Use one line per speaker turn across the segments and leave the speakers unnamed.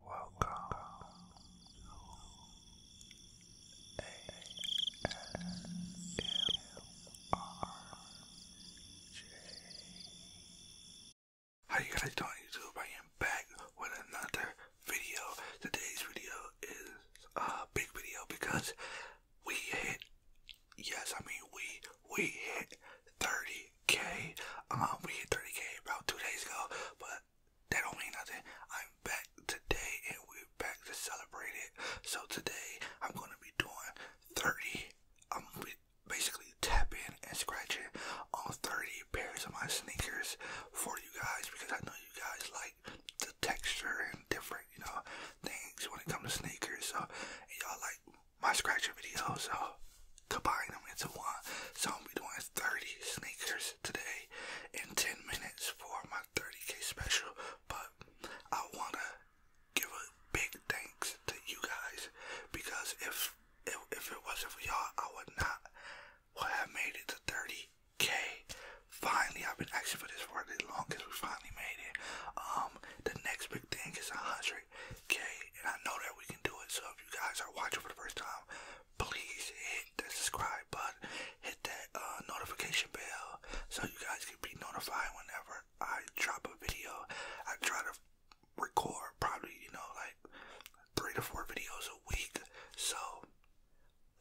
Welcome How you guys doing YouTube? I am back with another video. Today's video is a big video because we hit, yes I mean we, we hit 30k. Um, we hit 30k about two days ago, but that don't mean nothing. I'm back today and we're back to celebrate it. So today I'm gonna be doing 30. I'm gonna be basically tapping and scratching on 30 pairs of my sneakers for you guys because I know you guys like the texture and different, you know, things when it comes to sneakers. So y'all like my scratcher videos. So combine them into one. So I'm gonna be doing 30 sneakers today in 10 minutes for my 30k special. But I wanna give a big thanks to you guys because if if, it wasn't for y'all, I would not would have made it to 30k. Finally, I've been asking for this for long, cuz We finally made it. Um, the next big thing is 100 okay? And I know that we can do it. So if you guys are watching for the first time, please hit that subscribe button, hit that uh, notification bell, so you guys can be notified whenever I drop a video. I try to record probably, you know, like three to four videos a week. So,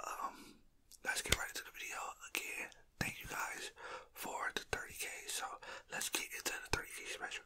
um, let's get right into the video again. Thank you guys for the 30k. So let's get into the 30k special.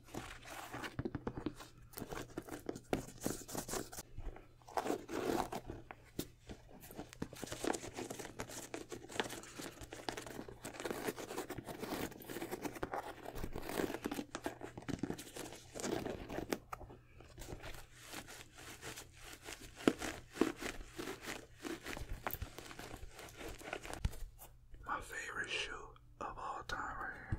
My favorite shoe of all time right here.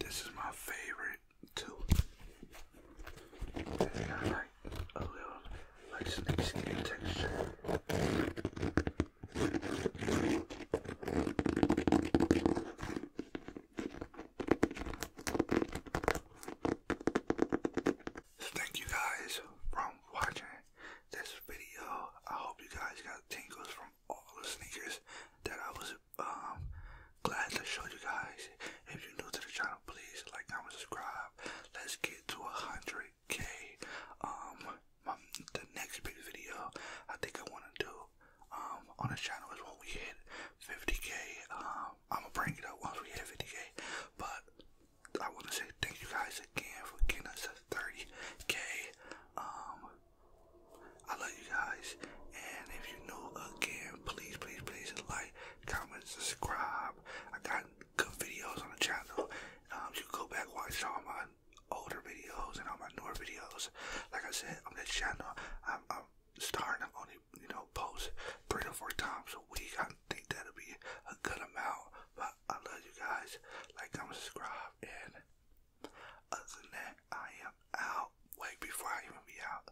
This is my favorite too. It's got like a little like snake skin texture. Thank you guys for watching this video. I hope you guys got tingles from all the sneakers that I was um glad to show you guys. If you're new to the channel, please like, comment, subscribe. Let's get to hundred K. Um the next big video I think I wanna do um on the channel is when we hit 50k. Um I'ma bring it up once we hit 50k. But I want to say thank you guys again for getting us to 30k. Um, I love you guys. And if you're new again, please, please, please like, comment, subscribe. I got good videos on the channel. Um, you go back watch all my older videos and all my newer videos. Like I said, on this channel, I'm, I'm starting. I'm only, you know, post three to four times a week. I think that'll be a good amount. But I love you guys. Like, comment, subscribe, and other than that, I am out. Wait, before I even be out,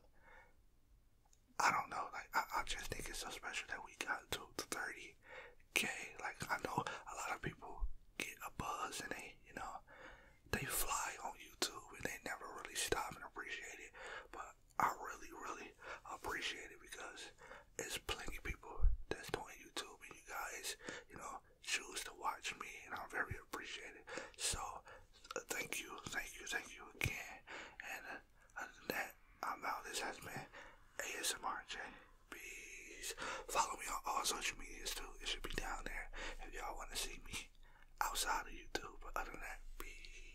I don't know. Like, I just think it's so special that we got to 30k. Like, I know a lot of people get a buzz and they, you know, they fly on YouTube and they never really stop and appreciate it. But I really, really appreciate it because it's plenty of people that's on YouTube and you guys, you know, choose to watch me and I'm very appreciated. So uh, thank you, thank you, thank you again. And uh, other than that, I'm out. This has been ASMRJ. Please Follow me on all social medias too. It should be down there if y'all want to see me outside of YouTube. other than that, peace.